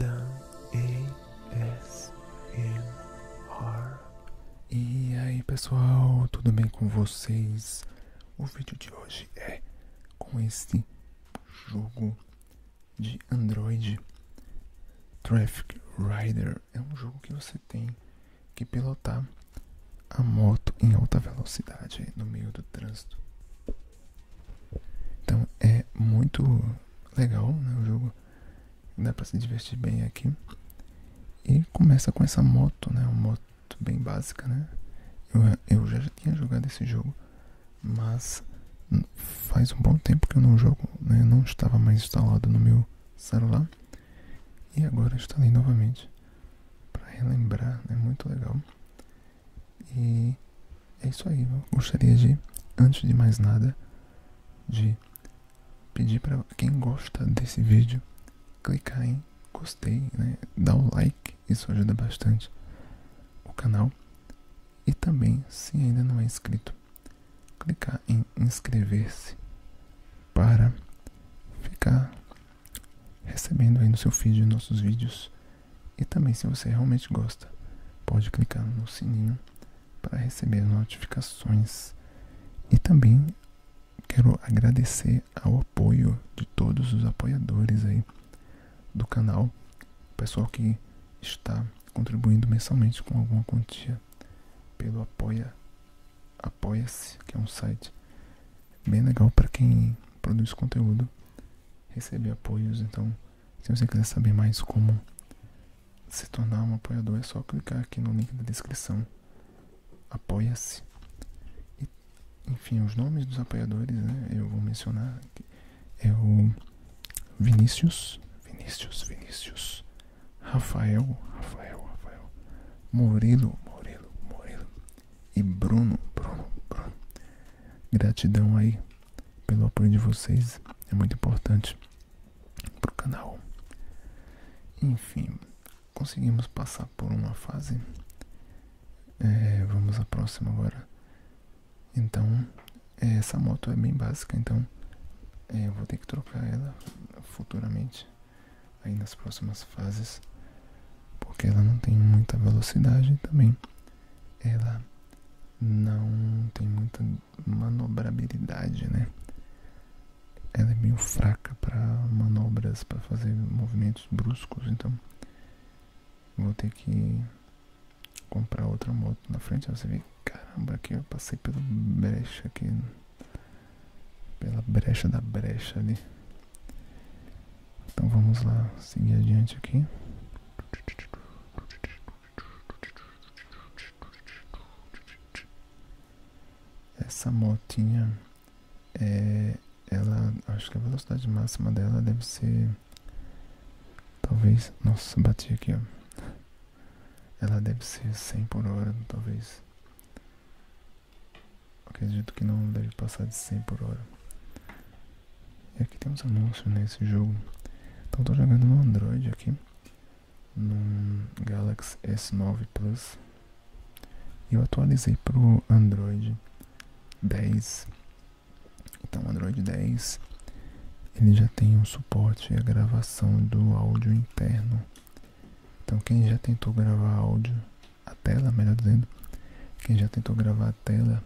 Dan A S M R E aí pessoal, tudo bem com vocês? O vídeo de hoje é com este jogo de Android Traffic Rider. É um jogo que você tem que pilotar a moto em alta velocidade no meio do trânsito. Então é muito legal né, o jogo, dá pra se divertir bem aqui. E começa com essa moto, né? Uma moto bem básica, né? Eu, eu já tinha jogado esse jogo, mas faz um bom tempo que eu não jogo, né? não estava mais instalado no meu celular. E agora instalei novamente para relembrar, é muito legal. E é isso aí. Eu gostaria de, antes de mais nada, de pedir para quem gosta desse vídeo clicar em gostei, né? Dar o like, isso ajuda bastante o canal. E também, se ainda não é inscrito, clicar em inscrever-se para ficar recebendo aí no seu feed nossos vídeos e também, se você realmente gosta, pode clicar no sininho para receber notificações. E também quero agradecer ao apoio de todos os apoiadores aí do canal, o pessoal que está contribuindo mensalmente com alguma quantia pelo apoia apoia-se, que é um site bem legal para quem produz conteúdo, receber apoios, então se você quiser saber mais como se tornar um apoiador, é só clicar aqui no link da descrição. Apoia-se. Enfim, os nomes dos apoiadores, né? Eu vou mencionar. É o Vinícius, Vinícius, Vinícius, Rafael, Rafael, Rafael, Murilo, Murilo, Murilo e Bruno, Bruno. Gratidão aí pelo apoio de vocês, é muito importante pro canal. Enfim, conseguimos passar por uma fase. É, vamos à próxima agora. Então, é, essa moto é bem básica, então é, eu vou ter que trocar ela futuramente, aí nas próximas fases, porque ela não tem muita velocidade também. Ela não tem muita manobrabilidade, né? Ela é meio fraca para manobras, para fazer movimentos bruscos, então vou ter que comprar outra moto na frente. Você vê, caramba, aqui eu passei pela brecha aqui, pela brecha da brecha ali. Então vamos lá, seguir adiante aqui. Essa motinha, é, ela, acho que a velocidade máxima dela deve ser, talvez, nossa, bati aqui, Ela deve ser 100 por hora, talvez. Acredito que não deve passar de 100 por hora aqui tem uns anúncios nesse jogo. Então estou jogando no Android aqui. No Galaxy S9 Plus. eu atualizei pro Android 10. Então o Android 10 ele já tem um suporte à gravação do áudio interno. Então quem já tentou gravar áudio, a tela, melhor dizendo, quem já tentou gravar a tela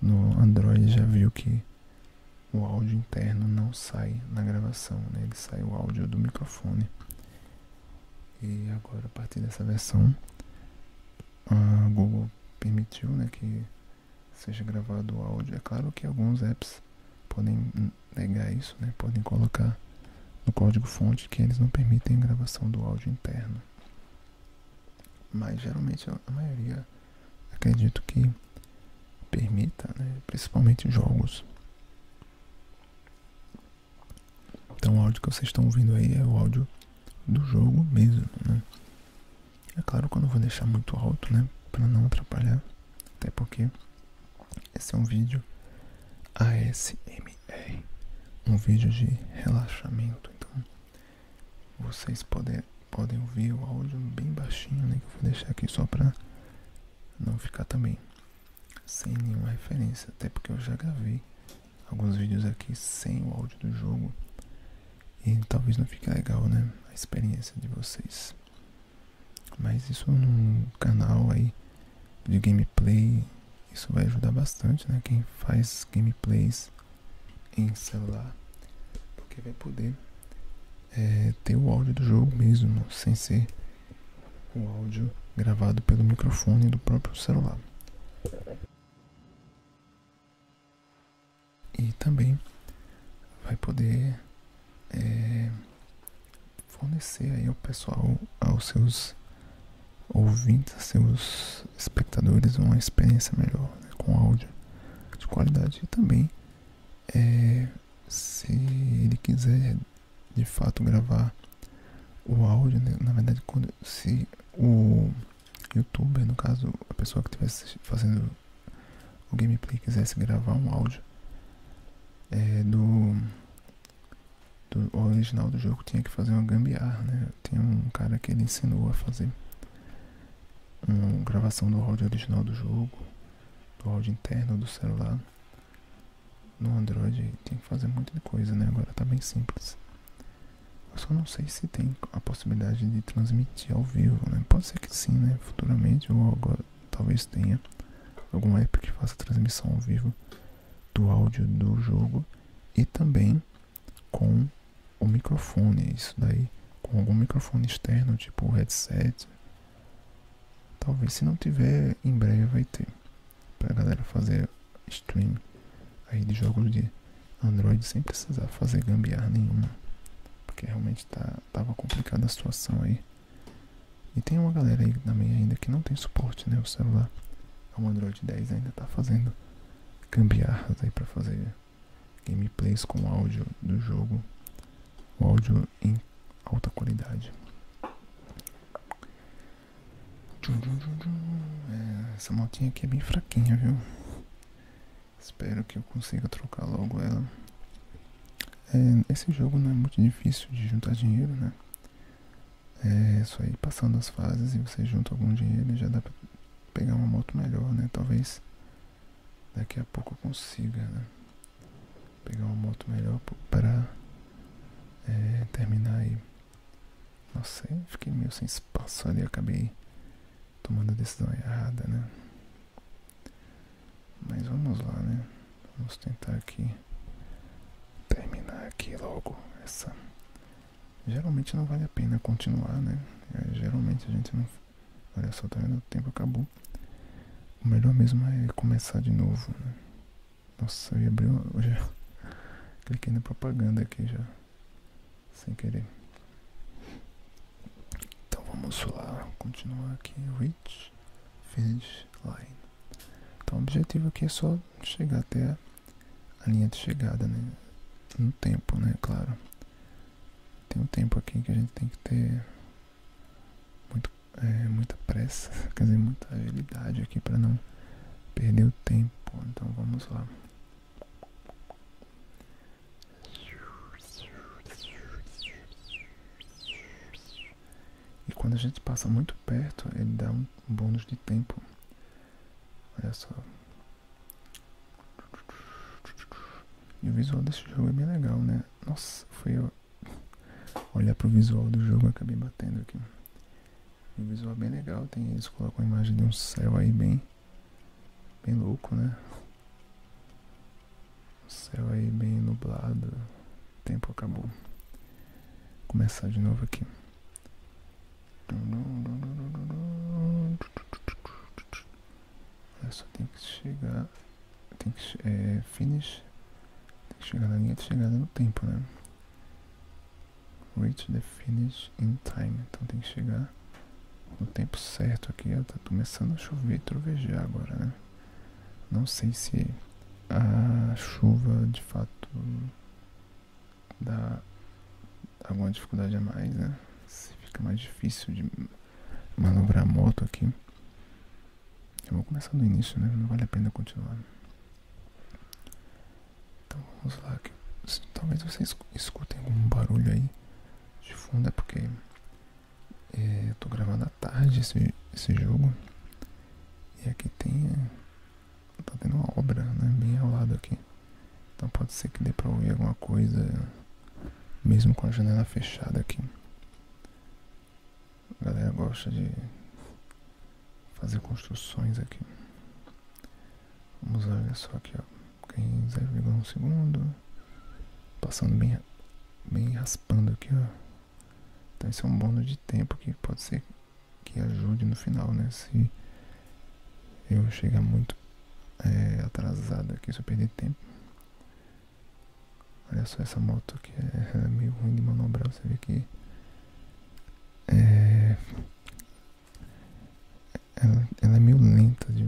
no Android já viu que o áudio interno não sai na gravação, né? ele sai o áudio do microfone. E agora a partir dessa versão a Google permitiu né, que seja gravado o áudio. É claro que alguns apps podem negar isso, né? podem colocar no código fonte que eles não permitem a gravação do áudio interno. Mas geralmente a maioria acredito que permita, né? principalmente jogos. Então o áudio que vocês estão ouvindo aí é o áudio do jogo mesmo, né. É claro que eu não vou deixar muito alto, né? Pra não atrapalhar. Até porque esse é um vídeo ASMR. Um vídeo de relaxamento. Então vocês podem, podem ouvir o áudio bem baixinho, né? Que eu vou deixar aqui só para não ficar também sem nenhuma referência. Até porque eu já gravei alguns vídeos aqui sem o áudio do jogo. E talvez não fique legal, né? A experiência de vocês. Mas isso num é canal aí de gameplay, isso vai ajudar bastante, né? Quem faz gameplays em celular, porque vai poder é, ter o áudio do jogo mesmo, sem ser o áudio gravado pelo microfone do próprio celular. E também vai poder é, fornecer aí ao pessoal, aos seus ouvindo seus espectadores uma experiência melhor né, com áudio de qualidade e também é, se ele quiser de fato gravar o áudio, né, na verdade quando se o youtuber, no caso a pessoa que estivesse fazendo o gameplay quisesse gravar um áudio é, do original do jogo tinha que fazer uma gambiarra, né? tem um cara que ele ensinou a fazer uma gravação do áudio original do jogo, do áudio interno do celular. No Android tem que fazer muita coisa, né? Agora tá bem simples. Eu só não sei se tem a possibilidade de transmitir ao vivo, né? Pode ser que sim, né? Futuramente ou agora talvez tenha algum app que faça transmissão ao vivo do áudio do jogo e também com o microfone, isso daí, com algum microfone externo, tipo headset. Talvez se não tiver, em breve vai ter. Pra galera fazer stream aí de jogos de Android sem precisar fazer gambiarra nenhuma. Porque realmente tá, tava complicada a situação aí. E tem uma galera aí também ainda que não tem suporte, né? O celular, o é Android 10 ainda tá fazendo cambiar para fazer gameplays com áudio do jogo, o áudio em alta qualidade. É, essa motinha aqui é bem fraquinha, viu? Espero que eu consiga trocar logo ela. É, esse jogo não é muito difícil de juntar dinheiro, né? É isso aí, passando as fases e vocês junta algum dinheiro e já dá pra pegar uma moto melhor, né? Talvez daqui a pouco eu consiga né? pegar uma moto melhor para é, terminar aí. Nossa, eu fiquei meio sem espaço ali, acabei tomando a decisão errada, né? Mas vamos lá, né? Vamos tentar aqui terminar aqui logo essa geralmente não vale a pena continuar, né? É, geralmente a gente não. Olha só, tá O tempo acabou. O melhor mesmo é começar de novo, né? Nossa, eu ia abrir. Uma... já cliquei na propaganda aqui já. Sem querer. Então vamos lá. Continuar aqui. Reach Finish Line. Então o objetivo aqui é só chegar até a linha de chegada no né? tempo, né? Claro. Tem um tempo aqui que a gente tem que ter é, muita pressa, quer muita agilidade aqui para não perder o tempo. Então vamos lá. E quando a gente passa muito perto, ele dá um bônus de tempo. Olha só. E o visual desse jogo é bem legal, né? Nossa, foi eu olhar pro visual do jogo acabei batendo aqui. O visual é bem legal, tem eles colocam a imagem de um céu aí bem bem louco, né? O céu aí bem nublado. O tempo acabou. começar de novo aqui. Eu só tem que chegar. Tem que. É, finish. Tem que chegar na linha de chegada no tempo, né? Reach the finish in time. Então tem que chegar no tempo certo aqui. Ó, tá começando a chover e trovejar agora, né? Não sei se a chuva de fato dá alguma dificuldade a mais, né? Se fica mais difícil de manobrar a moto aqui. Eu vou começar no início, né? Não vale a pena continuar. Então vamos lá. Que, talvez vocês escutem algum barulho aí de fundo, é porque é, eu tô gravando à tarde esse, esse jogo. E aqui tem é, Tá tendo uma obra, né? Bem ao lado aqui. Então pode ser que dê pra ouvir alguma coisa, mesmo com a janela fechada aqui. A galera gosta de fazer construções aqui. Vamos olhar só aqui, ó. Quem 0,1 segundo. Passando bem, bem raspando aqui, ó. Então isso é um bônus de tempo que pode ser que ajude no final, né? Se eu chegar muito é, atrasado aqui, se eu perder tempo. Olha só essa moto que é, é meio ruim de manobrar, você vê que é, ela, é meio lenta de,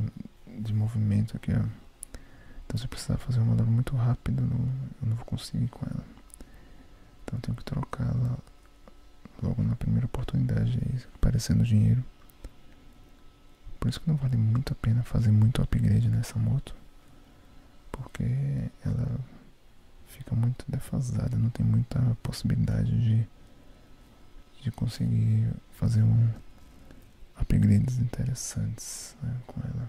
de movimento aqui, Então eu precisava fazer uma manobra muito rápido, não, eu não vou conseguir com ela. Então tenho que trocá-la logo na primeira oportunidade, aí é aparecendo dinheiro. Por isso que não vale muito a pena fazer muito upgrade nessa moto, porque ela fica muito defasada, não tem muita possibilidade de, de conseguir fazer um upgrades interessantes né, com ela.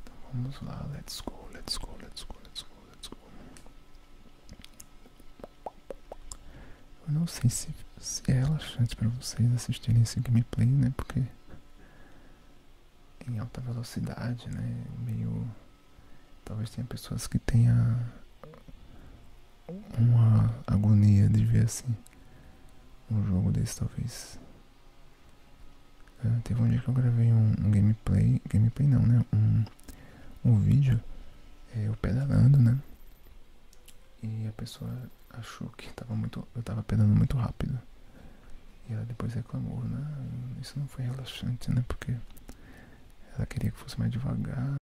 Então vamos lá, let's go, let's go, let's go, let's go, let's go. Eu não sei se, se é relaxante para vocês assistirem esse gameplay, né? Porque em alta velocidade, né? Meio. Talvez tenha pessoas que tenha uma agonia de ver assim um jogo desse talvez. Ah, teve um dia que eu gravei um, gameplay, gameplay não, né? Um, um vídeo, é, eu pedalando, né? E a pessoa achou que tava muito, eu tava pedalando muito rápido. E ela depois reclamou, né? Isso não foi relaxante, né? Porque ela queria que fosse mais devagar.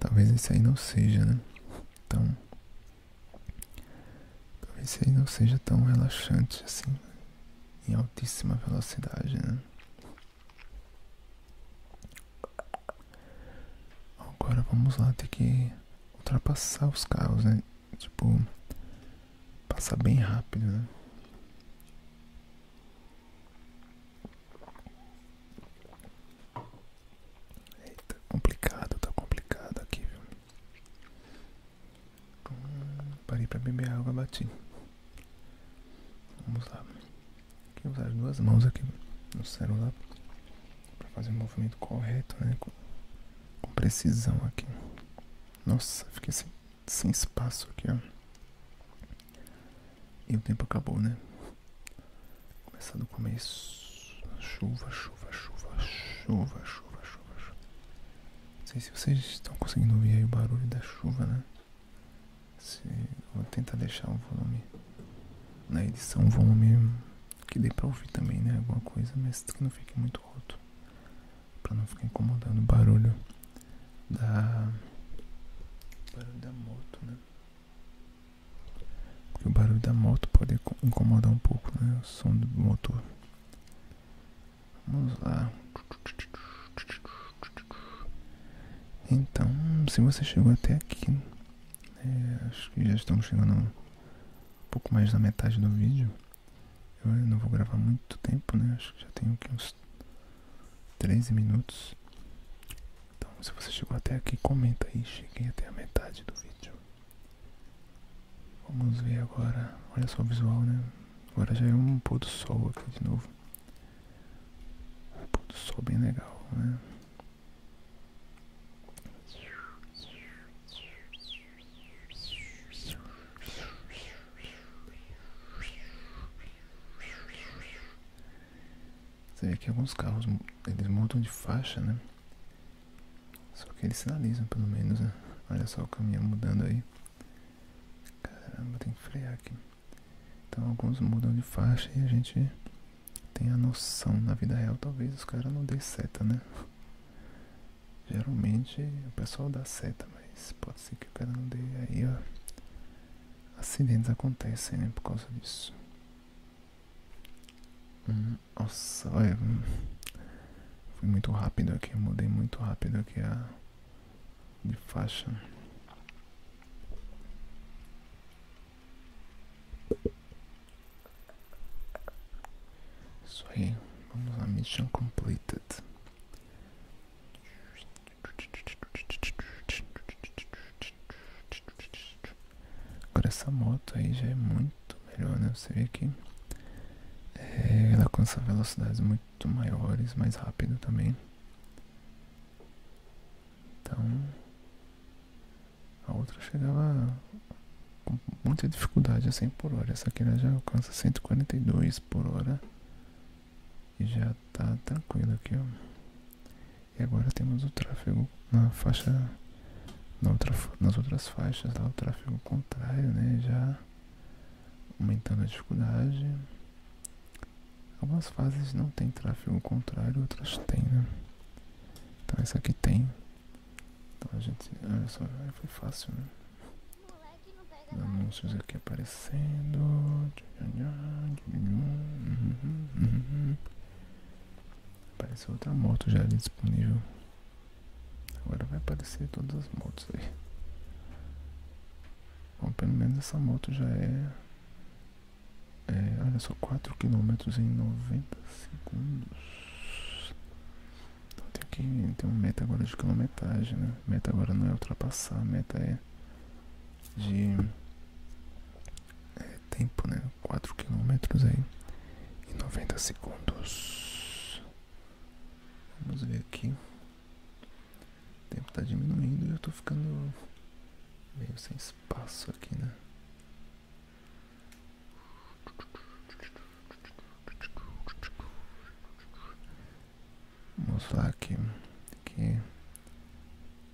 Talvez esse aí não seja, né? Então, Talvez esse aí não seja tão relaxante assim. Em altíssima velocidade, né? Agora vamos lá, ter que ultrapassar os carros, né? Tipo, passar bem rápido, né? Eita, complicado, tá complicado aqui, viu? Hum, parei pra beber água, bati. Vamos lá. Tem que usar as duas mãos aqui no celular para fazer o movimento correto, né? Com, precisão aqui. Nossa, fiquei sem, espaço aqui, ó. E o tempo acabou, né? Começar do começo. Chuva, chuva, chuva, chuva, chuva, chuva, chuva. Não sei se vocês estão conseguindo ouvir o barulho da chuva, né? Vou tentar deixar o volume na edição, um volume que dei pra ouvir também, né? Alguma coisa, mas que não fique muito alto. Pra não ficar incomodando o barulho da. barulho da moto, né? Porque o barulho da moto pode incomodar um pouco, né? O som do motor. Vamos lá. Então, se você chegou até aqui, é, acho que já estamos chegando um pouco mais da metade do vídeo. Eu não vou gravar muito tempo, né? Acho que já tenho aqui uns 13 minutos. Então, se você chegou até aqui, comenta aí. Cheguei até a metade do vídeo. Vamos ver agora. Olha só o visual, né? Agora já é um pôr do sol aqui de novo. Um pôr do sol bem legal, né? Você vê que alguns carros eles montam de faixa, né? Só que eles sinalizam pelo menos, né? Olha só o caminho mudando aí. Caramba, tem que frear aqui. Então alguns mudam de faixa e a gente tem a noção na vida real, talvez os caras não dêem seta, né? Geralmente o pessoal dá seta, mas pode ser que o cara não dê aí, ó. Acidentes acontecem, né, por causa disso. Hum, nossa, olha. Hum, fui muito rápido aqui, mudei muito rápido aqui a de faixa. Isso aí, vamos lá, mission completed. Agora essa moto aí já é muito melhor, né? Você vê que é, ela alcança velocidades muito maiores, mais rápido também. Então, a outra chegava com muita dificuldade a assim, 100 por hora. Essa aqui já alcança 142 por hora. E já tá tranquilo aqui, ó. E agora temos o tráfego na faixa. nas outras faixas o tráfego contrário, né? Já aumentando a dificuldade. Algumas fases não tem tráfego contrário, outras tem, né? Então essa aqui tem. Então a gente. Olha só, foi fácil, né? anúncios aqui aparecendo. Apareceu outra moto já ali disponível. Agora vai aparecer todas as motos aí. Bom, pelo menos essa moto já é é, olha só, 4 km em 90 segundos. Então tem que ter uma meta agora de quilometragem, né? Meta agora não é ultrapassar, a meta é de é tempo, né? 4 km aí em 90 segundos. Vamos ver aqui. O tempo está diminuindo e eu estou ficando meio sem espaço aqui, né? Vamos lá aqui, aqui.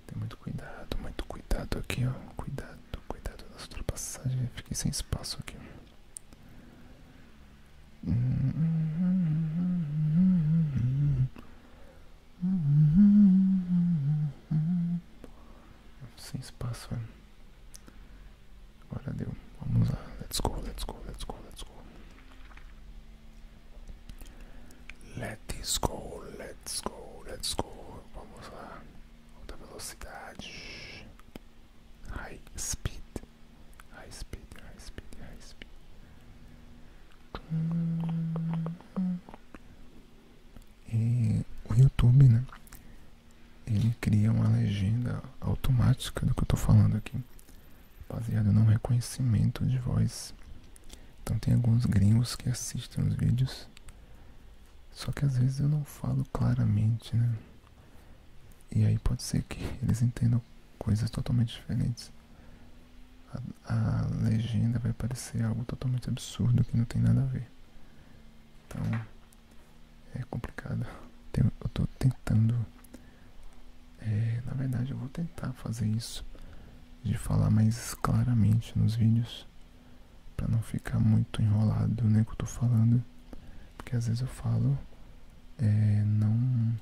Tem muito cuidado, muito cuidado aqui, ó. Cuidado, cuidado nas ultrapassagens. Fiquei sem espaço aqui. let Let's go, let's go, let's go, let's go. Let's go, let's go, let's go. Vamos lá. High speed. High speed, high speed, high speed. E o YouTube, né? Ele cria uma legenda automática do que eu tô falando aqui, baseada no reconhecimento de voz. Então tem alguns gringos que assistem os vídeos, só que às vezes eu não falo claramente, né? E aí pode ser que eles entendam coisas totalmente diferentes a legenda vai parecer algo totalmente absurdo que não tem nada a ver. Então é complicado. Eu estou tentando. É, na verdade, eu vou tentar fazer isso de falar mais claramente nos vídeos para não ficar muito enrolado, né, que eu tô falando, porque às vezes eu falo é, não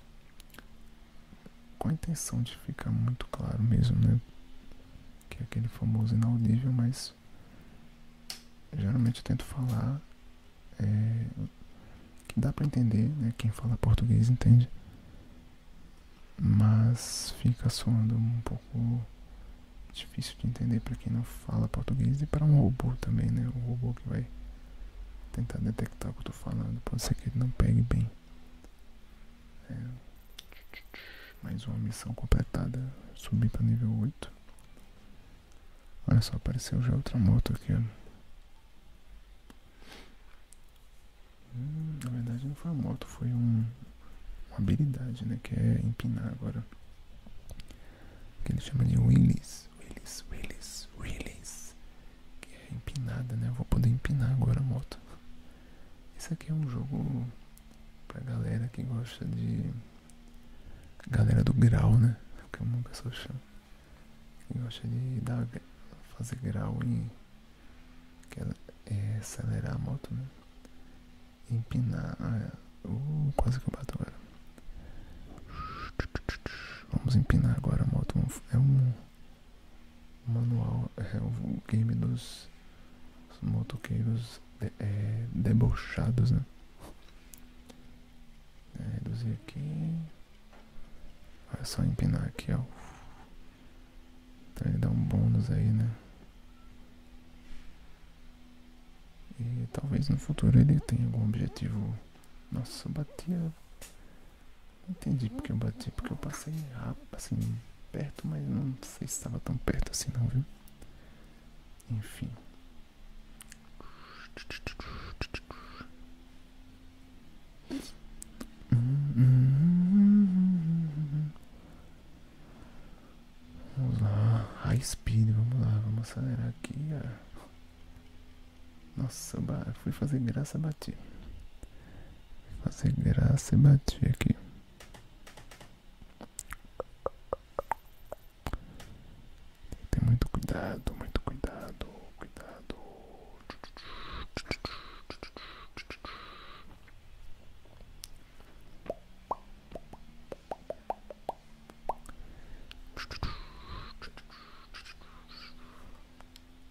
com a intenção de ficar muito claro mesmo, né? Que é aquele famoso inaudível, mas geralmente eu tento falar é, que dá para entender, né? Quem fala português entende, mas fica somando um pouco difícil de entender para quem não fala português e para um robô também, né? O robô que vai tentar detectar o que eu tô falando, pode ser que ele não pegue bem. É. Mais uma missão completada. Subir para nível 8. Olha só, apareceu já outra moto aqui, hum, na verdade não foi uma moto, foi uma habilidade, né? Que é empinar agora. Que ele chama de Willis. Willis, Willis, Willis. Que é empinada, né? vou poder empinar agora a moto. Isso aqui é um jogo pra galera que gosta de. Galera do grau, né? É que eu nunca chama. Que gosta de dar, fazer grau e Que é acelerar a moto, né? Empinar. Ah, é. Uh, quase que eu bato agora. Vamos empinar agora a moto. É um manual é o game dos motoqueiros de, é, é, debochados, né? É, reduzir aqui. É só empinar aqui, ó. Então ele dá um bônus aí, né? E talvez no futuro ele tenha algum objetivo. Nossa, eu Entendi porque eu bati, porque eu passei rápido, assim, perto, mas não sei se estava tão perto assim não, viu? Enfim. Vamos lá, high speed, vamos lá, vamos acelerar aqui. Nossa, fui fazer graça, bati fazer graça e bati aqui. Tem muito cuidado, muito cuidado, cuidado.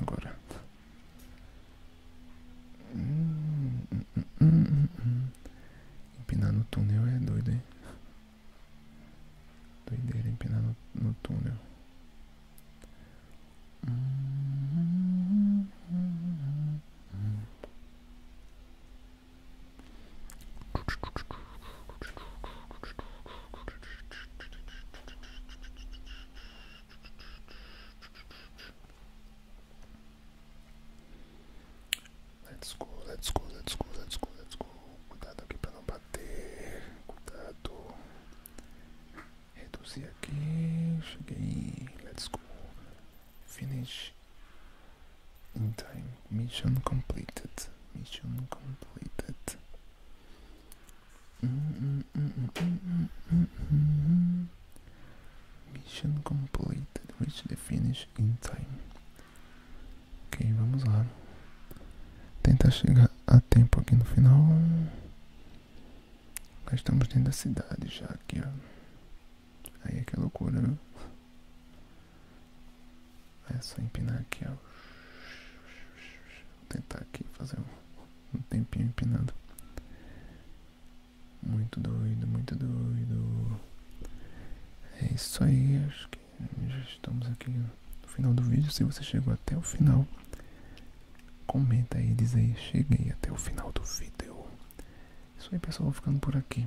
Agora. Empinar no túnel é doido, hein? Doideira empinar no, túnel. Let's go, let's go, let's go, let's go, let's go. Cuidado aqui para não bater. Cuidado. Reduzir aqui. Cheguei. Let's go. Finish. Em então, time. Mission completed. Mission completed. Mm -mm -mm Mission completed. Reach the finish in time. Ok, vamos lá. Tentar chegar a tempo aqui no final. Já estamos dentro da cidade já aqui, ó. Aí é que é loucura, viu? É só empinar aqui, ó. Vou tentar aqui fazer um, tempinho empinando. Muito doido, muito doido. É isso aí, acho que já estamos aqui no final do vídeo. Se você chegou até o final, comenta aí, diz aí, cheguei até o final do vídeo. É isso aí, pessoal, vou ficando por aqui.